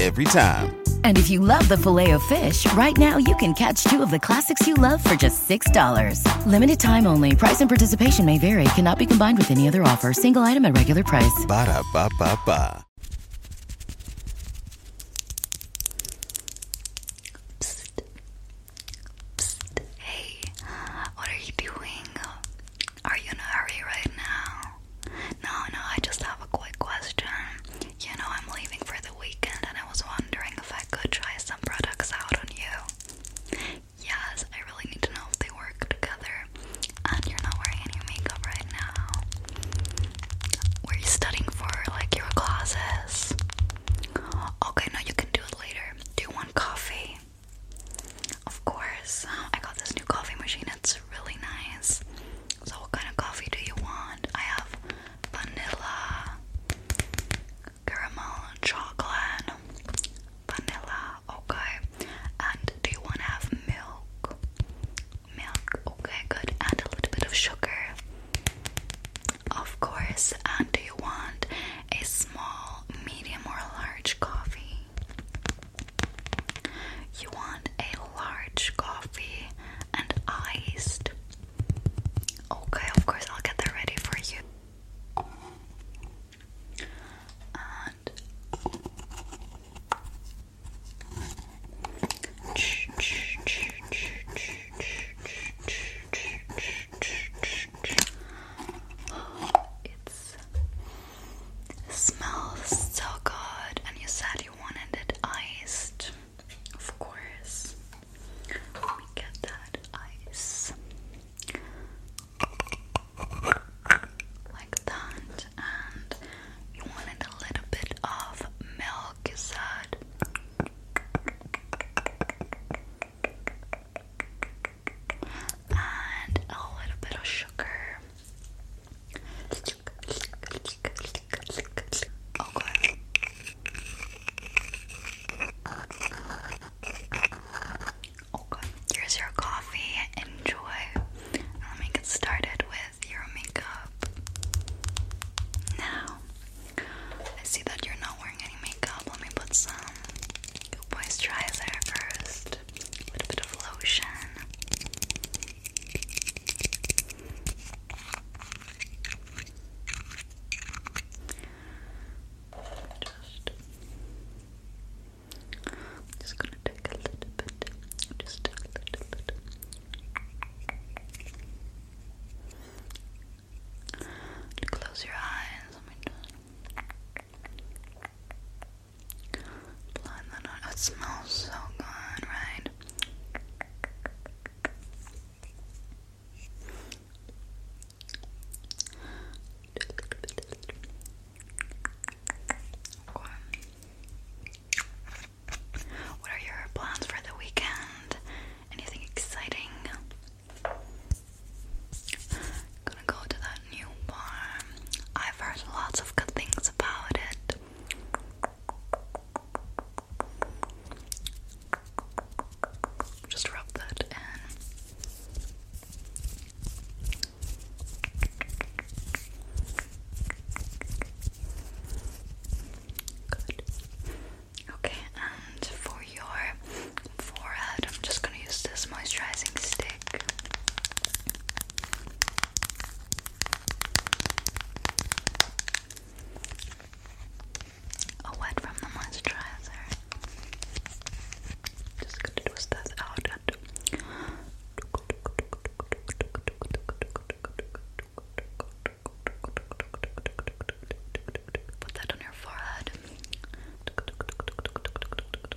every time. And if you love the filet of fish, right now you can catch two of the classics you love for just $6. Limited time only. Price and participation may vary. Cannot be combined with any other offer. Single item at regular price. Hey, what are you doing? Are you in a hurry right now? No, no, I just have a quick question. You know, I'm leaving for the weekend and I was wondering if I could try some products out on you. Yes, I really need to know if they work together. And you're not wearing any makeup right now. Were you studying for like your classes? Okay, no, you can do it later. Do you want coffee? Of course. I got this new coffee machine, it's really nice. So, what kind of coffee do you want? I have vanilla, caramel, chocolate, vanilla, okay. And do you want to have milk? Milk, okay, good. And a little bit of sugar, of course. And do you want a small, medium, or large coffee? You want a large coffee and iced. Okay, of course, I'll get that ready for you. And it's it smells so good, and you said you wanted it iced, of course. Let get that ice like that, and you wanted a little bit of milk, you said. And a little bit of sugar. Okay. Here's your coffee. Enjoy. Let me get started with your makeup. Now, I see that you're not wearing any makeup. Let me put some moisturizer first. A little bit of lotion. Just, just gonna take a little bit, just a little bit. Close your eyes. Let me just. It oh, smells so good, right? What are your plans for the weekend? Anything exciting? Gonna go to that new bar. I've heard lots of good things about it. Just rub that in. Good. Okay, and for your forehead, I'm just gonna use this moisturizing stick. A wet from the moisturizer. Just gonna twist this out and Put that on your forehead.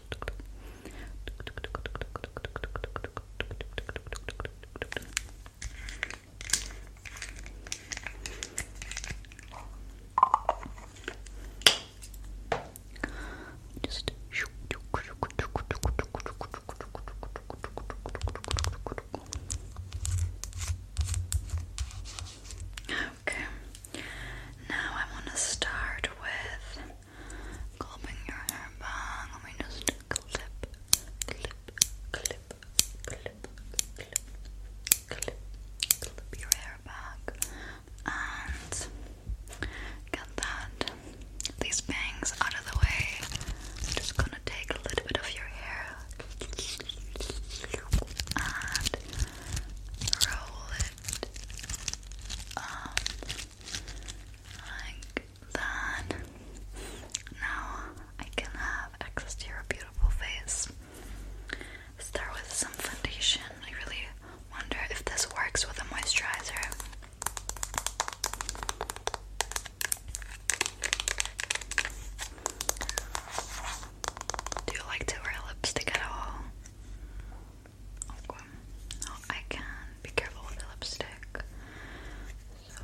Just Okay. Now I want to start with clipping your hair back. Let me just clip, clip, clip, clip, clip, clip, clip your hair back, and get that these bangs out of the way. just gonna take a little bit of your hair and roll it like that. Now I can have access to your beautiful face. Start with some foundation. I really wonder if this works with a moisturizer. Do you like to wear lipstick at all? Okay. I can be careful with the lipstick. So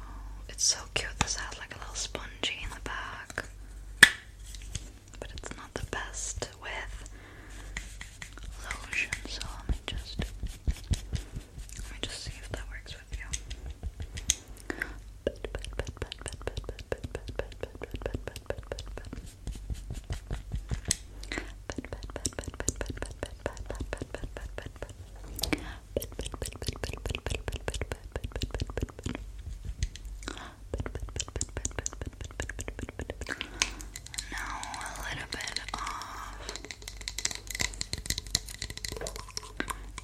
it's so cute. This has like a little spongy in the back, but it's not the best with lotion. So let me just let me just see if that works with you. Now a little bit of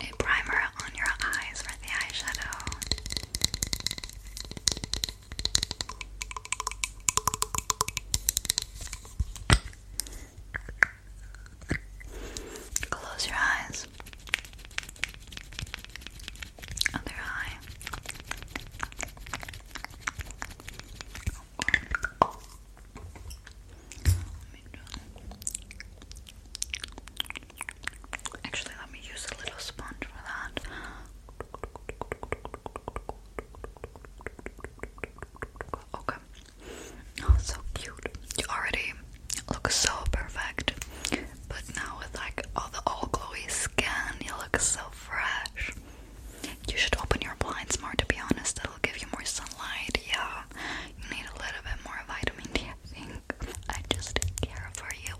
a primer on your eyes for the eyeshadow. Close your eyes. Other eye. Actually, let me use a little sponge for that. Okay. Oh, so cute. You already look so perfect, but now with like all the all glowy skin, you look so fresh. You should open your blinds more, to be honest. It'll give you more sunlight. Yeah, you need a little bit more vitamin D, I think. I just care for you,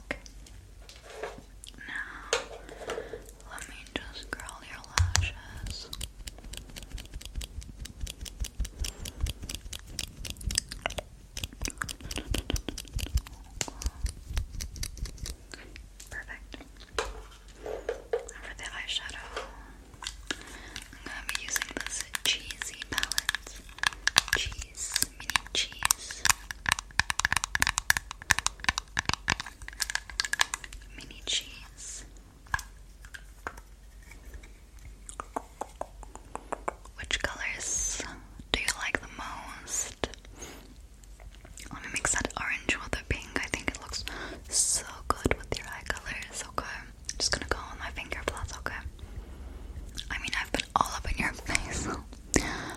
Okay. Now, let me just curl your lashes. Perfect. for the eyeshadow, I'm going to be using this cheesy palette. Cheese, mini cheese mini cheese, which colors do you like the most? Let me mix that orange with the pink. I think it looks so good with your eye colors. Okay, I'm just gonna go on my finger plus. Okay, I mean I've been all up in your face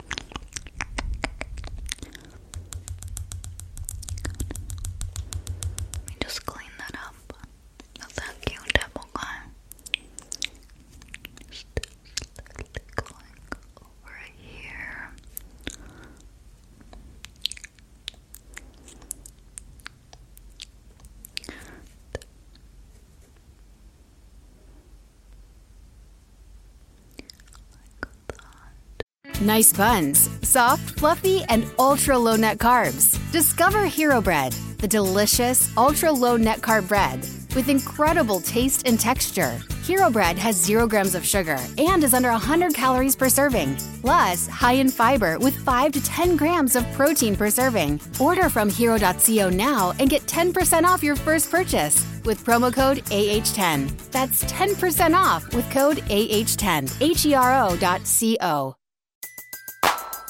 Let me just clean that up. That's that cute apple here. Nice buns, soft, fluffy, and ultra low net carbs. Discover Hero Bread, the delicious ultra low net carb bread with incredible taste and texture. Hero Bread has zero grams of sugar and is under 100 calories per serving, plus high in fiber with 5 to 10 grams of protein per serving. Order from hero.co now and get 10% off your first purchase with promo code AH10. That's 10% off with code AH10. H E R O.co.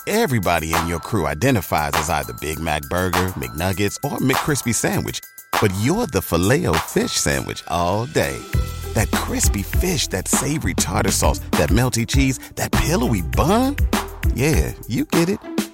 Everybody in your crew identifies as either Big Mac Burger, McNuggets, or McCrispy Sandwich, but you're the filet fish Sandwich all day. That crispy fish, that savory tartar sauce, that melty cheese, that pillowy bun. Yeah, you get it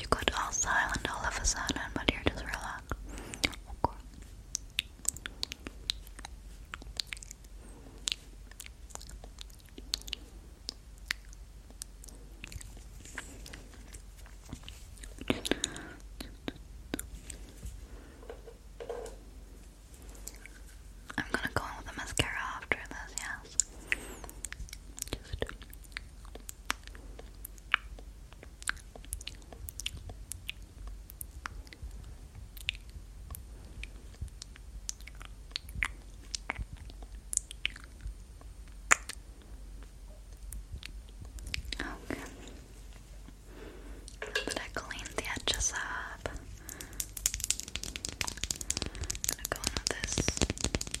You got all silent all of a sudden, but you're just relax. I'm gonna go in with the mascara after this, yes. Okay. But I cleaned the edges up. I'm gonna go in with this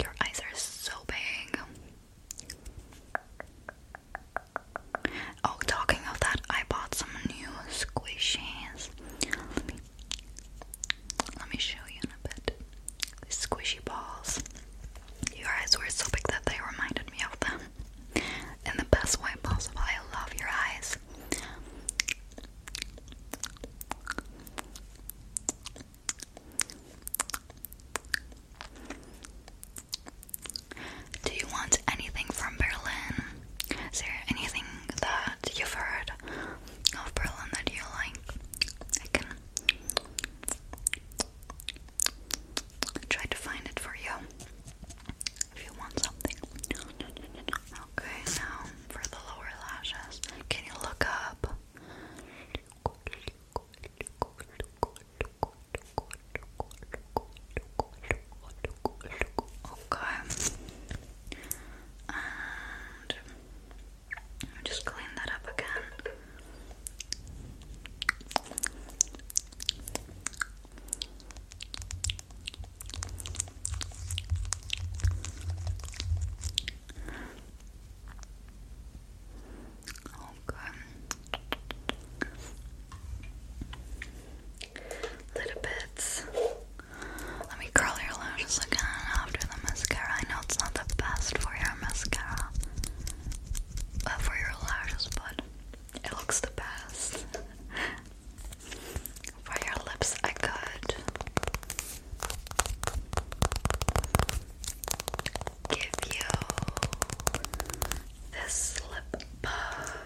Your eyes are so big. Oh, talking of that, I bought some new squishies. Let me show you a bit. squishy balls. Your eyes were so big that they reminded me of them. In the best way possible. I love your eyes. Do you want anything from Berlin? Is there anything that you've heard of Berlin that you like? I can try to find it for you if you want something. Okay, now for the lower lashes, can you look up? Okay. And just clean that up again. Little bits. Let me curl your lashes again after the mascara. I know it's not the best for your mascara, uh, for your lashes, but it looks the best. For your lips, I could give you this lip puff.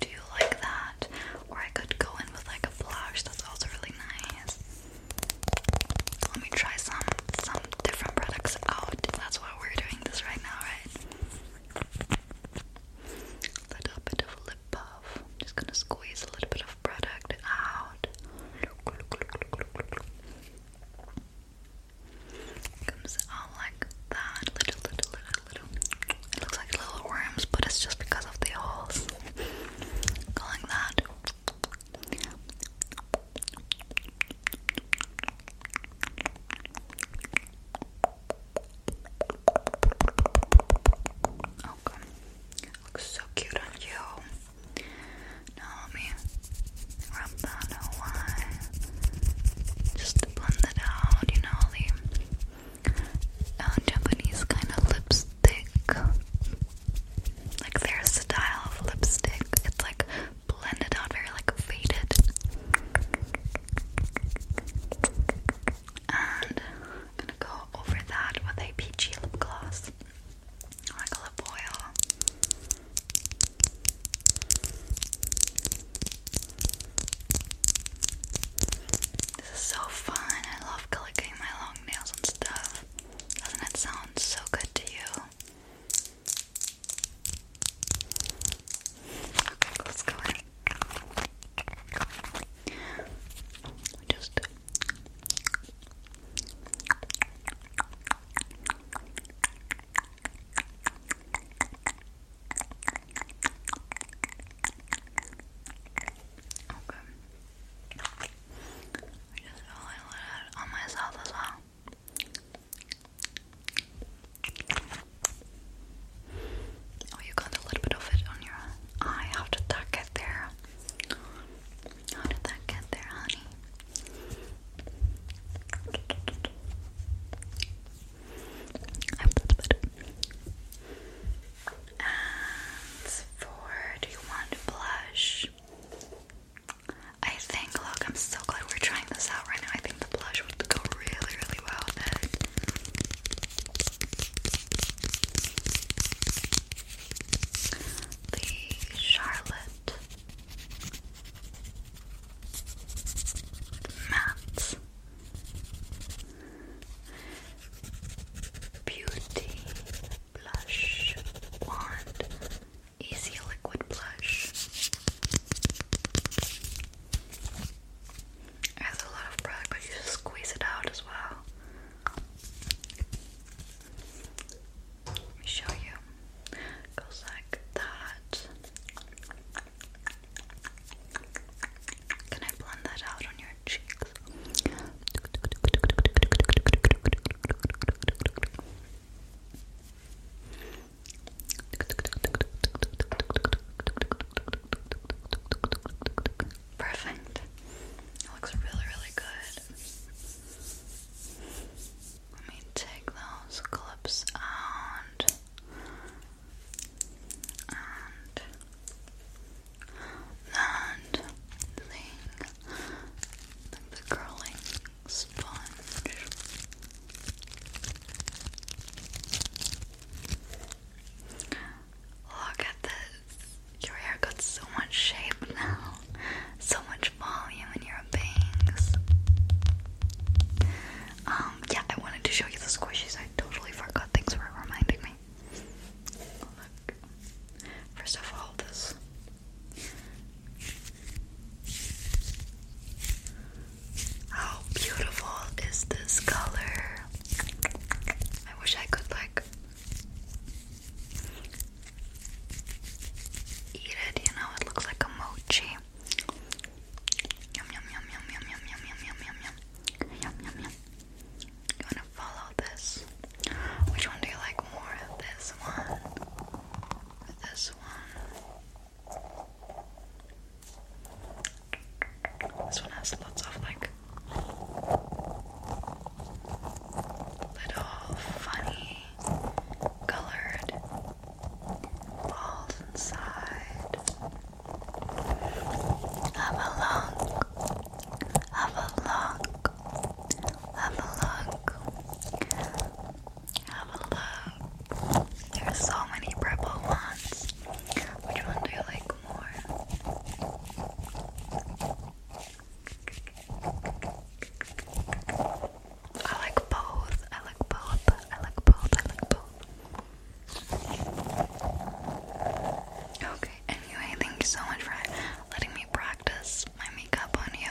Do you like that? Or I could go in with like a blush. That's also really nice. Let me try some some different products out. That's why we're doing this right now, right? little bit of lip puff. I'm just gonna squeeze a little bit of product out. Comes out like that, little, little, little, little. It looks like little worms, but it's just because of the holes. Going that. Okay. Oh, Looks so cute on you. Now rub that away. Just blend it out, you know, the uh, Japanese kind of lipstick. Like their style of lipstick. It's like blended out, very like faded. And I'm gonna go over that with a peachy lip gloss or like a lip This is so fun. I love clicking my long nails and stuff. Doesn't it sound so good to you? Okay, let's go ahead just Okay. just really let it on myself as well. Oh, you got a little bit of it on your eye. How did that get there? How did that get there, honey? I hope that's better. And for, do you want blush? I think, look, I'm so glad we're trying this out right now. I think blush would go really, really well with The Charlotte Matte Beauty Blush Wand Easy Liquid Blush has a lot of product, but you squeeze it out as well. Let me show you. goes like that. Can I blend that out on your cheeks? Perfect. looks really, really good. Let me take those clips out. And that the curling Look at this. Your hair got so much shape now. So much volume in your bangs. Um, yeah, I wanted to show you the squishies. I totally forgot. Thanks for reminding me. Look. First of all, this how beautiful is this color? I wish I could like eat it, you know, it looks like a mochi. Yum yum yum yum yum yum yum yum yum yum yum yum yum You wanna follow this? Which one do you like more? This one? This one? This one has lots of like little funny colored balls inside. Have a look, have a look, have a look. Have a look. There's so many purple ones. Which one do you like more? I like both. I like both. I like both. I like both. Okay, anyway, thank you so much for letting me practice my makeup on you.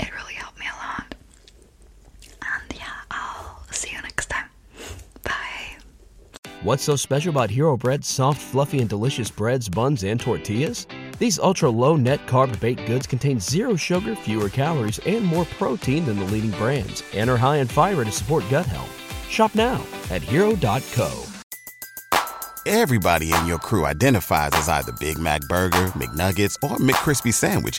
It really helped me a lot. And yeah, I'll see you next time. Bye. What's so special about Hero Bread's soft, fluffy, and delicious breads, buns, and tortillas? These ultra low net carb baked goods contain zero sugar, fewer calories, and more protein than the leading brands, and are high in fiber to support gut health. Shop now at hero.co. Everybody in your crew identifies as either Big Mac Burger, McNuggets, or McKrispy Sandwich